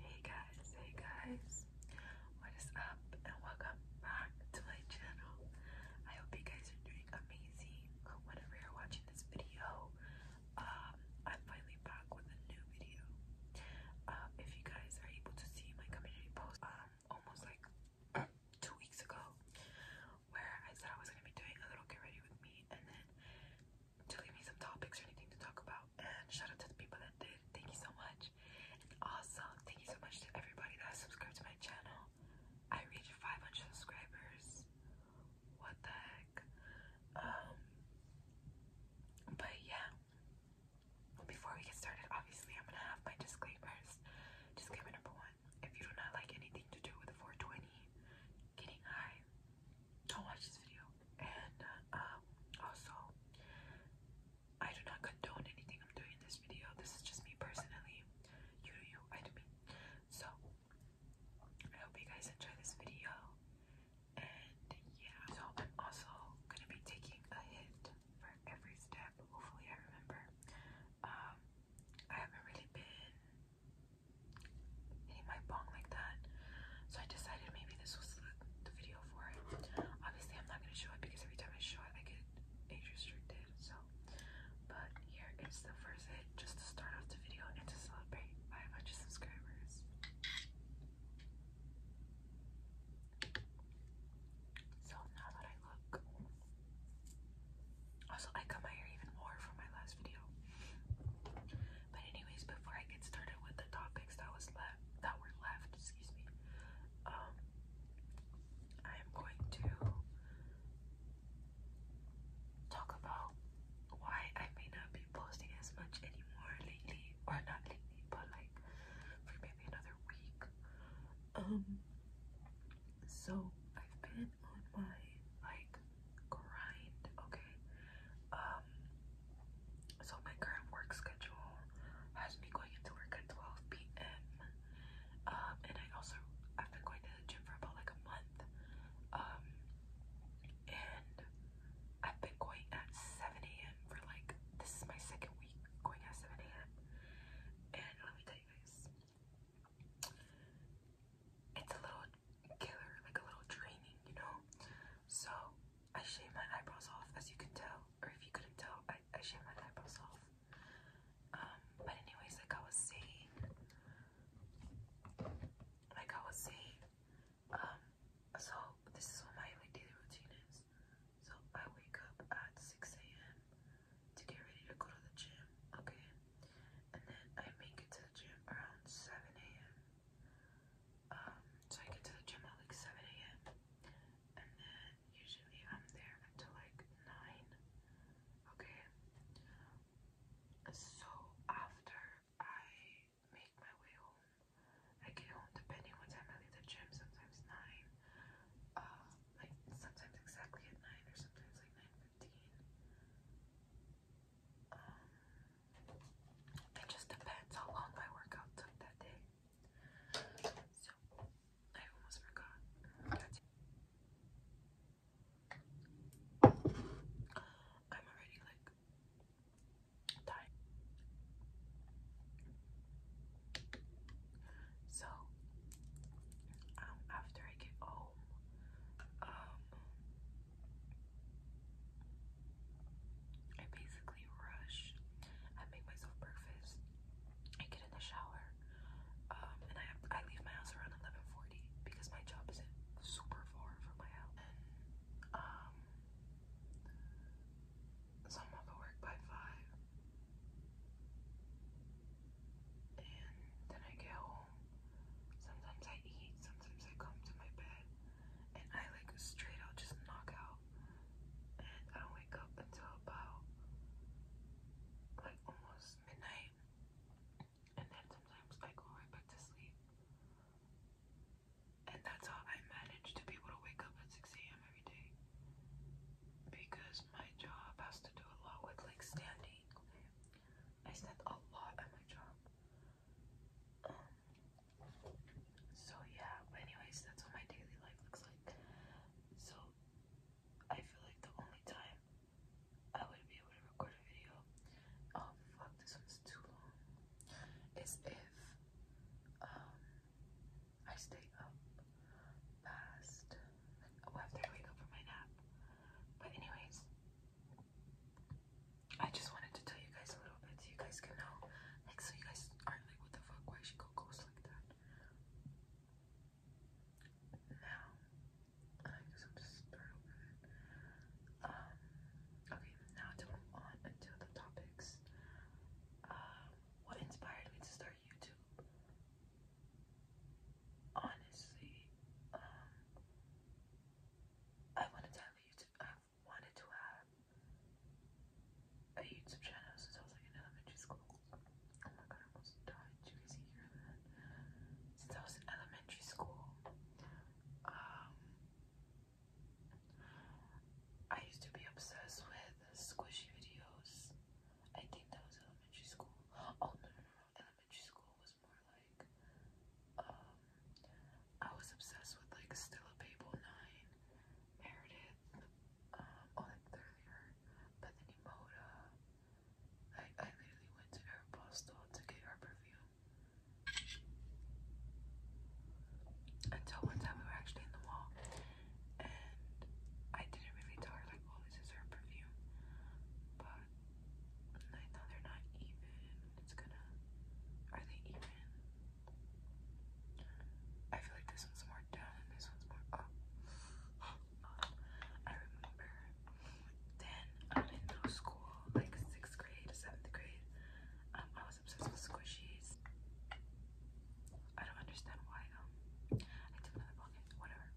Hey guys, hey guys, what is up and welcome back to my channel. I hope you guys are doing amazing whenever you're watching this video. Um, I'm finally back with a new video. Um, if you guys are able to see my community post, um, almost like two weeks ago, where I said I was gonna be doing a little get ready with me, and then to leave me some topics or anything to talk about. And shout out to the people that did. Thank you so much. also, thank you so much to everybody that subscribed to my channel. I reached 500 subscribers. What the heck? Um, but yeah. Before we get started, obviously, I'm gonna have my disclaimers. Disclaimer number one if you do not like anything to do with 420, getting high, don't watch this video. And uh, um, also, I do not condone anything I'm doing in this video. This is just me personally. You do you, I do me. So, I hope you guys enjoy this video. And yeah, so I'm also gonna be taking a hit for every step. Hopefully, I remember. Um, I haven't really been hitting my bong like that, so I decided maybe this was the video for it. Obviously, I'm not going to show it because every time I show it, I get age restricted. So, but here is the first just to start off the video and to celebrate 500 subscribers. So now that I look, also I cut my hair even more from my last video. But anyways, before I get started with the topics that was left that were left, excuse me, um I am going to talk about why I may not be posting as much anymore lately, or not lately, but like for maybe another week. Um so I've been on my like grind, okay. Um so my current work schedule has me going into work at 12 p.m. Um, and I also I've been going to the gym for about like a month. Um, and I've been going at 7 a.m. for like this is my second week going at 7 a.m. And let me tell you guys, it's a little killer, like a little draining, you know. So I shave my eyebrows off, as you can tell, or if you couldn't tell, I, I shave my eyebrows off. Um, but anyways, like I was saying, like I was saying, um, so this is what my daily routine is. So I wake up at 6 a.m. to get ready to go to the gym, okay? And then I make it to the gym around 7 a.m. Um, so I get to the gym at like 7 a.m. and then usually I'm there until like 9. Okay. So after I make my way home, I get home depending what time I leave the gym, sometimes 9. Uh, like sometimes exactly at 9 or sometimes like 9.15. Uh, it just depends how long my workout took that day. So I almost forgot. I'm already like tired. So um after I get home, um I basically rush. I make myself breakfast. I get in the shower. Um, and I I leave my house around 11:40 because my job is super far from my house. um, so I'm up at work by five, and then I get home. Sometimes I eat. Sometimes I come to my bed and I like straight I'll just knock out. And I don't wake up until about like almost midnight. And then sometimes I go right back to sleep. And that's how I manage to be able to wake up at 6 a.m. every day. Because my job has to do a lot with like standing. I stand a lot at my job so yeah, but anyways, that's what my daily life looks like. So I feel like the only time I would be able to record a video, oh fuck, this one's too long, is if um I stay up past, after I wake up from my nap. But anyways, I just wanted to tell you guys a little bit so you guys can know. Like, so you guys aren't like, what the fuck, why she go ghost like that? Now, I guess I'm just startled with Um, okay, now to move on until the topics. Um, what inspired me to start YouTube? Honestly, um, I wanted to have a YouTube, wanted to have a YouTube channel since I was like in elementary school. Oh my god, I almost died. Did you guys hear that? Since I was in elementary school, um, I used to be obsessed with squishy videos. I think that was elementary school. Oh no, no, no, elementary school was more like, um, I was obsessed with like Stella Babel 9, Meredith, um, uh, oh, like earlier, Bethany Moda. I, I literally went to Aeropostale to get her perfume. Until one time we were actually in the mall and I didn't really tell her like, oh, this is her perfume. But I know they're not even. It's gonna. Are they even? I feel like this one's more down and this one's more up. Oh. I remember then um, in school, like sixth grade, seventh grade, um, I was obsessed with squishies. I don't understand why though. Um, I took another pocket, whatever.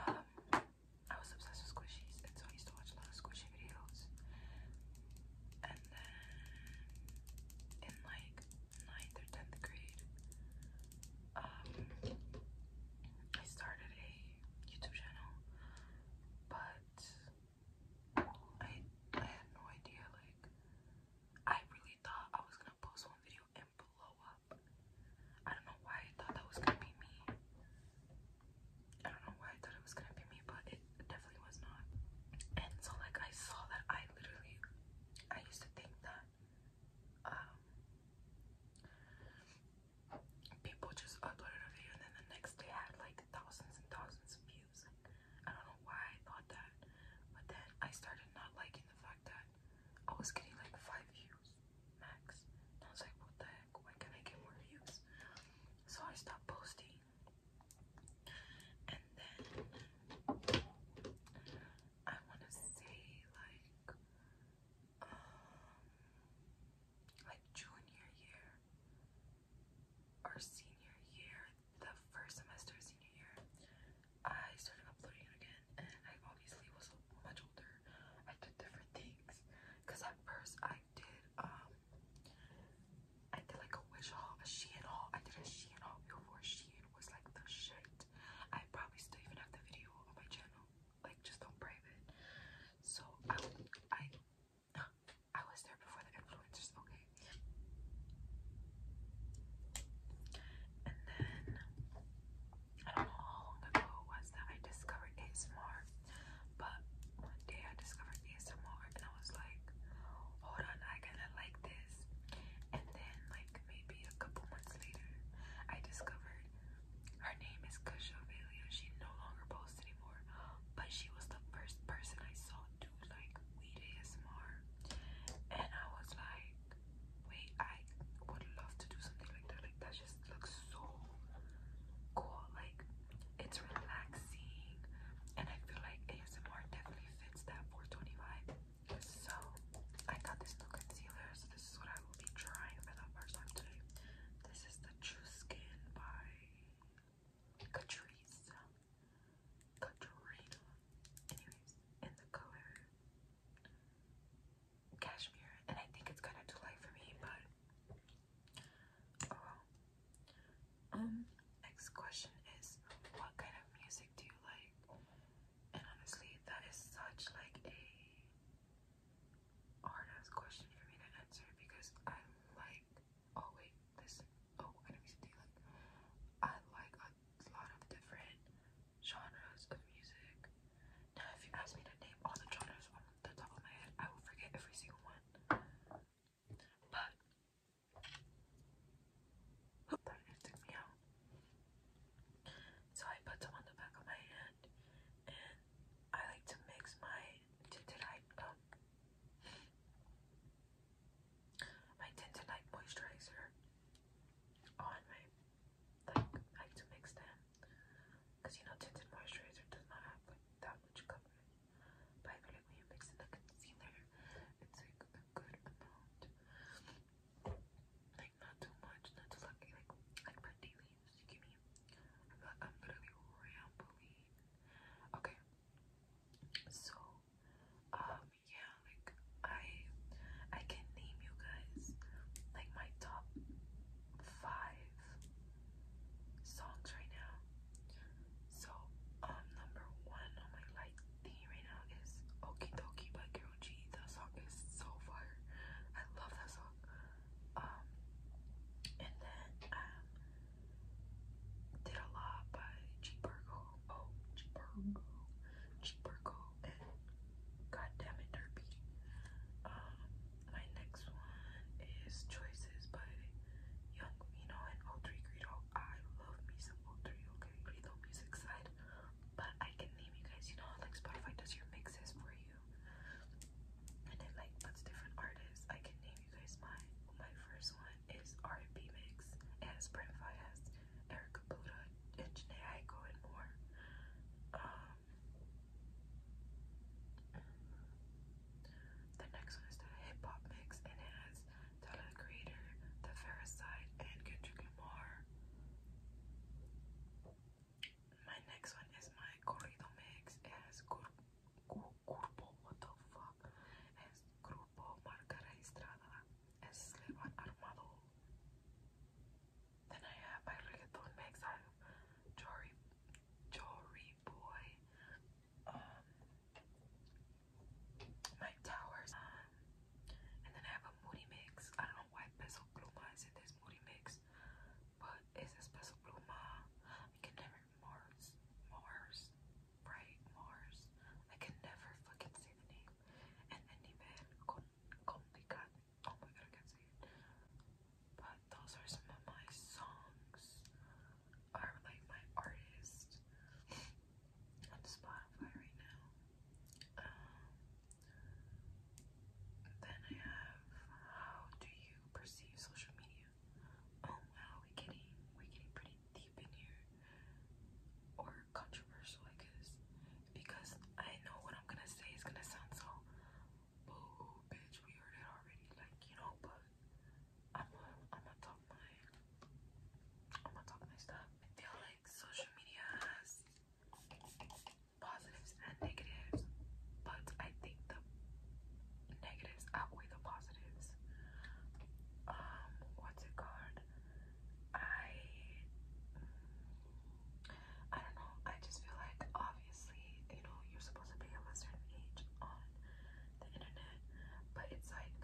Um, I was obsessed with squishies, and so I used to watch a lot of squishy videos. And then in like ninth or tenth grade, um, I started a YouTube channel, but I I had no idea. Like, I really thought I was gonna post one video and blow up. I don't know why I thought that was gonna be me. I don't know why I thought it was gonna be me, but it definitely was not. And so like I saw that I literally I used to think that um, people just uploaded a video and then the next day had like thousands and thousands of views. I don't know why I thought that. But then I started not liking the fact that I was getting like five views max. I was like, what the heck? Why can't I get more views? So I stopped posting. And then I want to say like um like junior year or senior year, the first semester of senior year, I started uploading again and I obviously was much older. I did different things because at first I did um I did like a wish haul, a Shein haul. I did a Shein haul before Shein was like the shit. I probably still even have the video on my channel, like just on private. So I I I was there before the influencers, okay. And then I don't know how long ago it was that I discovered ASMR. But one day I discovered ASMR and I was like, hold on, I kinda like this. And then like maybe a couple months later, I discovered her name is Kusha Velia. She no longer posts anymore. But she was the first person I saw do like weed ASMR. And I was like, wait, I would love to do something like that. Like that's just looks so cool. Like it's relaxing, and I feel like ASMR definitely fits that 425. So I got this new concealer. So this is what I will be trying for the first time today. This is the True Skin by Catrice. Katrina. Anyways, in the color cashmere, and I think it's kind of too light for me, but um, next question is what kind of music do you like? And honestly, that is such like a hard question for me to answer because i like oh wait, listen. Oh, what kind of music do you like? I like a lot of different genres of music if you ask me to name all the genres on the top of my head, I will forget every single one. But oh, that took me out. So I put them on the back of my hand, and I like to mix my tinted light um, my tinted light moisturizer on I like to mix them because you know, tinted moisturizer does not have like that much coverage. But I you mix in the concealer, it's like a good amount. Like not too much, not too lucky. Like like my dailies, you give me. I'm, like, I'm literally rambling. Okay. So, um, yeah, like I, I can name you guys like my top five songs right now. So, um, number one on my like theme right now is Okie by Carol G. That song is so fire. I love that song. Um, and then um, Did a by G. Burgo. Oh, G. Burgo. G. Burgo and God Derby. Um, my next one is Choices by Young Vino and O3 I love me some O3, okay? Greedo music side. But I can name you guys, you know like Spotify does your mixes for you. And it like puts different artists. I can name you guys mine. My first one is R&B mix. It has Brent Fayez, and Janae Aiko and more. Um, the next one is the hip hop mix and it has Tyler the Creator, The Pharisite, and Kendrick Lamar. My next one is my corrido mix. It has Cur what the fuck? Grupo Marca Registrada and Slevan Armado. Then I have my reggaeton mix. I have Jory, Jory Boy, um, Mike Towers, um, and then I have a Moody mix. I don't know why Peso Pluma is in this Moody mix, but it's a Peso Pluma. I can never Mars, Mars, right? Mars. I can never fucking say the name. And then even Complicat Oh my god, I can't say But those are some of my songs, or like my artists on Spotify right now. then I have how do you perceive social media? Oh wow, we're getting we're getting pretty deep in here, or controversial, I because I know what I'm gonna say is gonna sound so boo, bitch, we heard it already, like, you know, but I'm I'm gonna talk my, I'm gonna talk my stuff. I like social media has positives and negatives, but I think the negatives outweigh the positives. Um, what's it called? I, I don't know. I just feel like obviously, you know, you're supposed to be a certain age on the internet, but it's like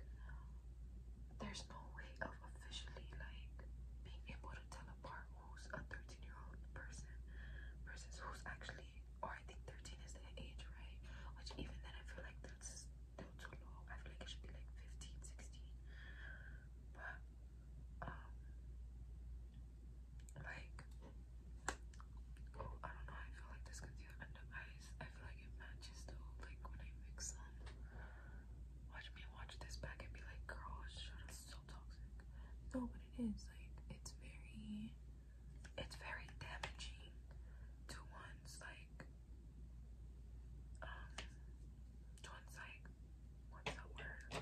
there's no way of officially like being able to tell apart who's a 13 year old person versus who's actually, or I think 13 is the age, right? Which even then, I feel like that's still too low. I feel like it should be like 15, um, like, oh, I don't know, I feel like this concealer under eyes, I feel like it matches though, like when I mix them, watch me watch this back and be like, girl, shut up, so toxic, no, but it is, like, it's very, it's very damaging to one's, like, um, one's, like, what's the word?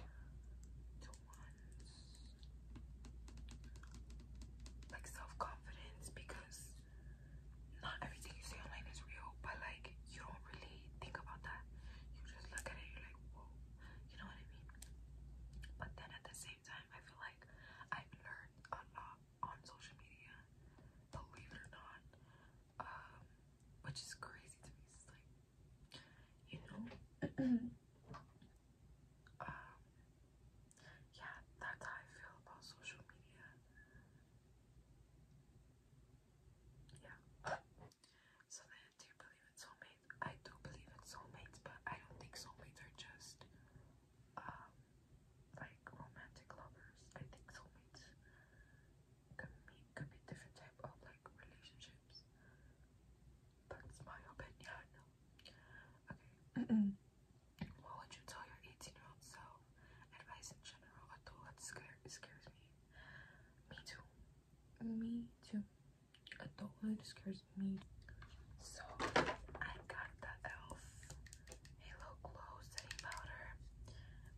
like self-confidence because not everything you say online is real but like you don't really think about that you just look at it you're like whoa you know what I mean but then at the same time I feel like I've learned a lot on social media believe it or not um, which is crazy to me you know um, yeah that's how I feel about social media yeah so then do you believe in soulmates? I do believe in soulmates but I don't think soulmates are just um like romantic lovers I think soulmates could mean could be different type of like relationship that's my opinion. Okay. what would you tell your 18 year old self? Advice in general. I that scares, scares me. Me too. Me too. Adulthood scares me. So I got the elf Halo Glow setting powder,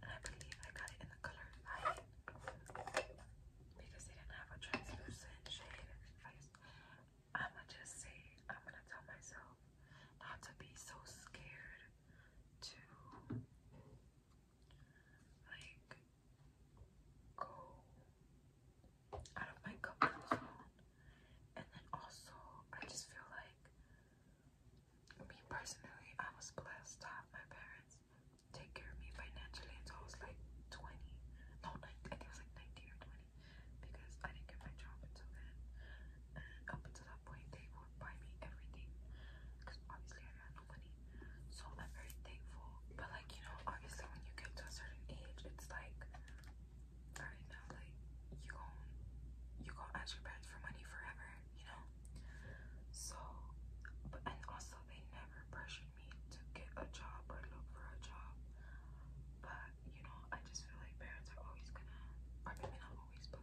and I believe I got it in the color light because they didn't have a translucent shade I'ma just say, I'm gonna tell myself not to be so scared to like go out of my comfort zone. And then also, I just feel like me personally, I was blessed to have my parents take care of me financially until I was like 20. No, 19, I think it was like 19 or 20 because I didn't get my job until then. up until that point, they would buy me everything because obviously I had no money. So I'm very thankful. But like, you know, obviously when you get to a certain age, it's like, alright now, like, you go, you gon' ask your parents for money forever, you know? So, but and also they never pressured to get a job or look for a job. But you know, I just feel like parents are always gonna, or maybe not always, but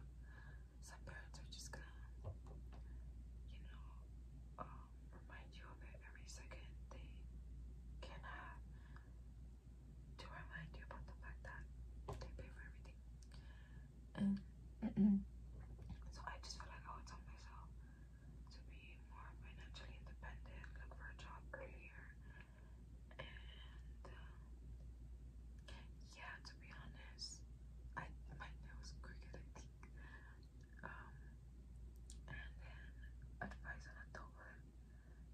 some parents are just gonna, you know, um, remind you of it every second. They cannot to remind you about the fact that they pay for everything. And mm, so I just feel like I would tell myself, to be more financially independent, look for a job earlier, and um, yeah, to be honest, I my nose crooked, I think. Um, and then advice on adult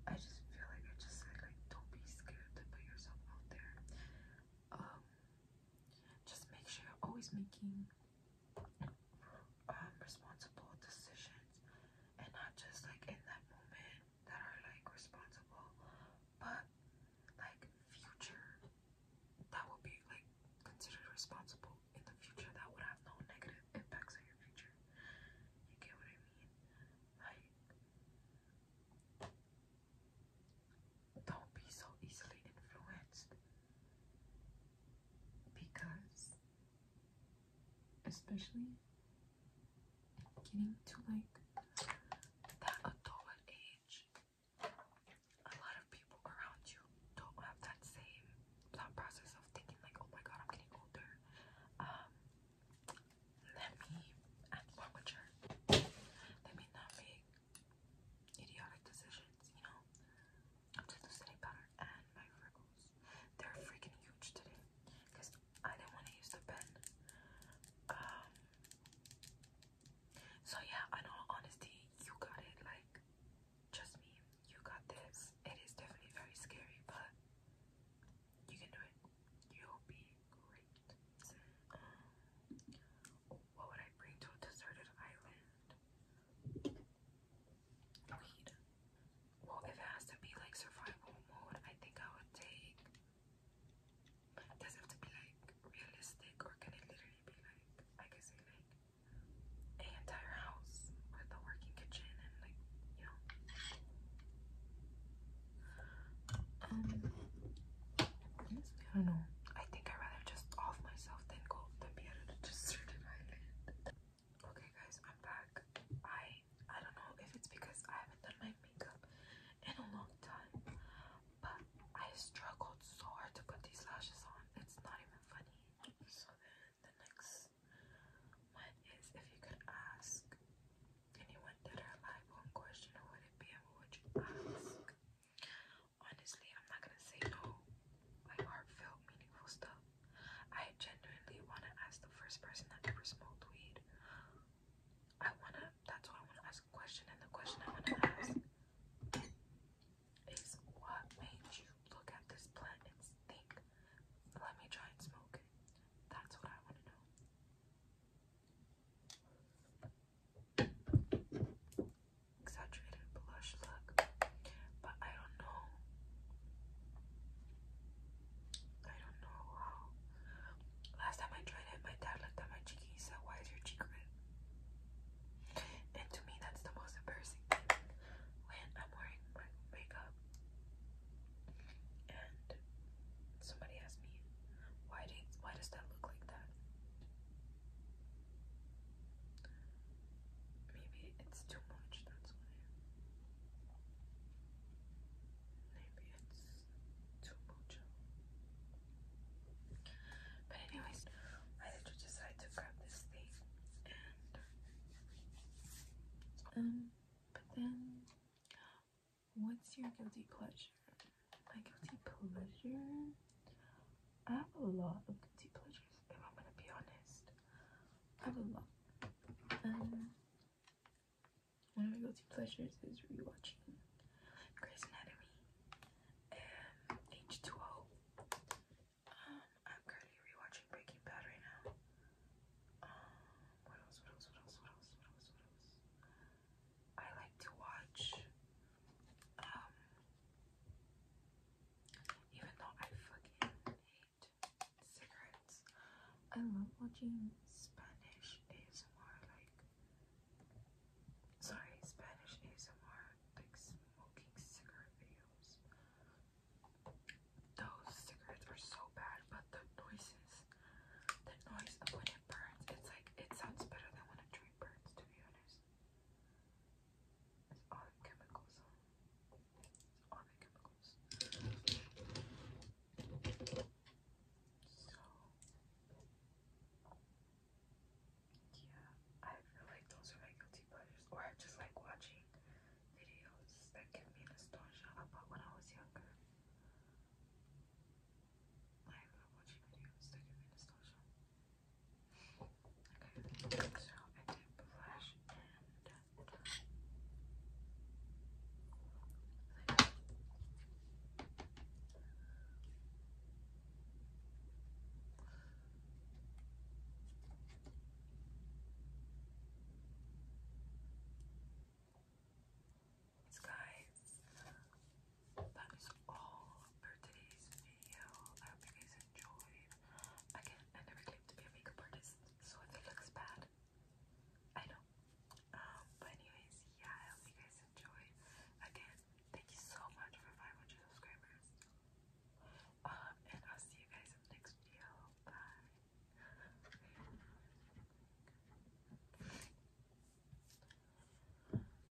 I just feel like I just said like don't be scared to put yourself out there. Um, just make sure you're always making um, responsible decisions and not just like in that moment that are like responsible, but like future that will be like considered responsible in the future that would have no negative impacts on your future. You get what I mean? Like, don't be so easily influenced because especially getting to like that adult age a lot of people around you don't have that same thought process of thinking like oh my god I'm getting older um let me act more let me not make idiotic decisions, you know? I'm just losing pattern and my freckles. They're freaking huge today because I didn't want to use the pen. Um, so, yeah, in all honesty, you got it. Like, trust me, you got this. It is definitely very scary, but you can do it. You'll be great. Um, what would I bring to a deserted island? Well, if it has to be like survival mode, I think I would take. does have to be like realistic, or can it literally be like I can say like an entire house with a working kitchen and like you know. Um, I don't know. I think I'd rather just off myself than go than be able to just certify it. Okay guys, I'm back. I I don't know if it's because I haven't done my makeup in a long time, but I struggled so hard to put these lashes on. It's not even funny. So then the next one is if you could ask anyone dead or alive one question, who would it be and would you ask? Honestly, I'm not gonna say no, like heartfelt, meaningful stuff. I genuinely wanna ask the first person that ever smoked weed. I wanna, that's why I wanna ask a question, and the question I wanna ask is what made you look at this plant and think, let me try and smoke it? That's what I wanna know exaggerated blush look, but I don't know. I don't know how. Last time I tried it, my dad looked at my cheek and said, "Why is your cheek red?" And to me, that's the most embarrassing when I'm wearing my makeup and somebody asks me, "Why does why does that look like that?" Maybe it's too much, that's why. Maybe it's too much. But anyways, I did you decide to grab this thing um but then what's your guilty pleasure? my guilty pleasure. I have a lot of guilty pleasures, if I'm gonna be honest. I have a lot. Um, one of my guilty pleasures is rewatching Grey's Anatomy and um, H2O. Um, I'm currently rewatching Breaking Bad right now. what else? What else? What else? What else? What else? What else? I like to watch um, even though I fucking hate cigarettes, I love watching Spanish ASMR, like, sorry, Spanish ASMR, like smoking cigarette videos. Those cigarettes are so bad, but the noises, the noise of when it burns, it's like, it sounds better than when a tree burns, to be honest. It's all chemicals. all chemicals. So yeah, I feel like those are my guilty pleasures, or I just like watching videos that give me nostalgia about when I was younger. I watching videos that give me nostalgia. Okay, so I did blush and lip. This guy that is all for today's video. I hope you guys enjoyed. Again, I never claimed to be a makeup artist, so it looks bad, I know. Um, but anyways, yeah, I hope you guys enjoyed. Again, thank you so much for 500 subscribers. Um, and I'll see you guys next video. Bye.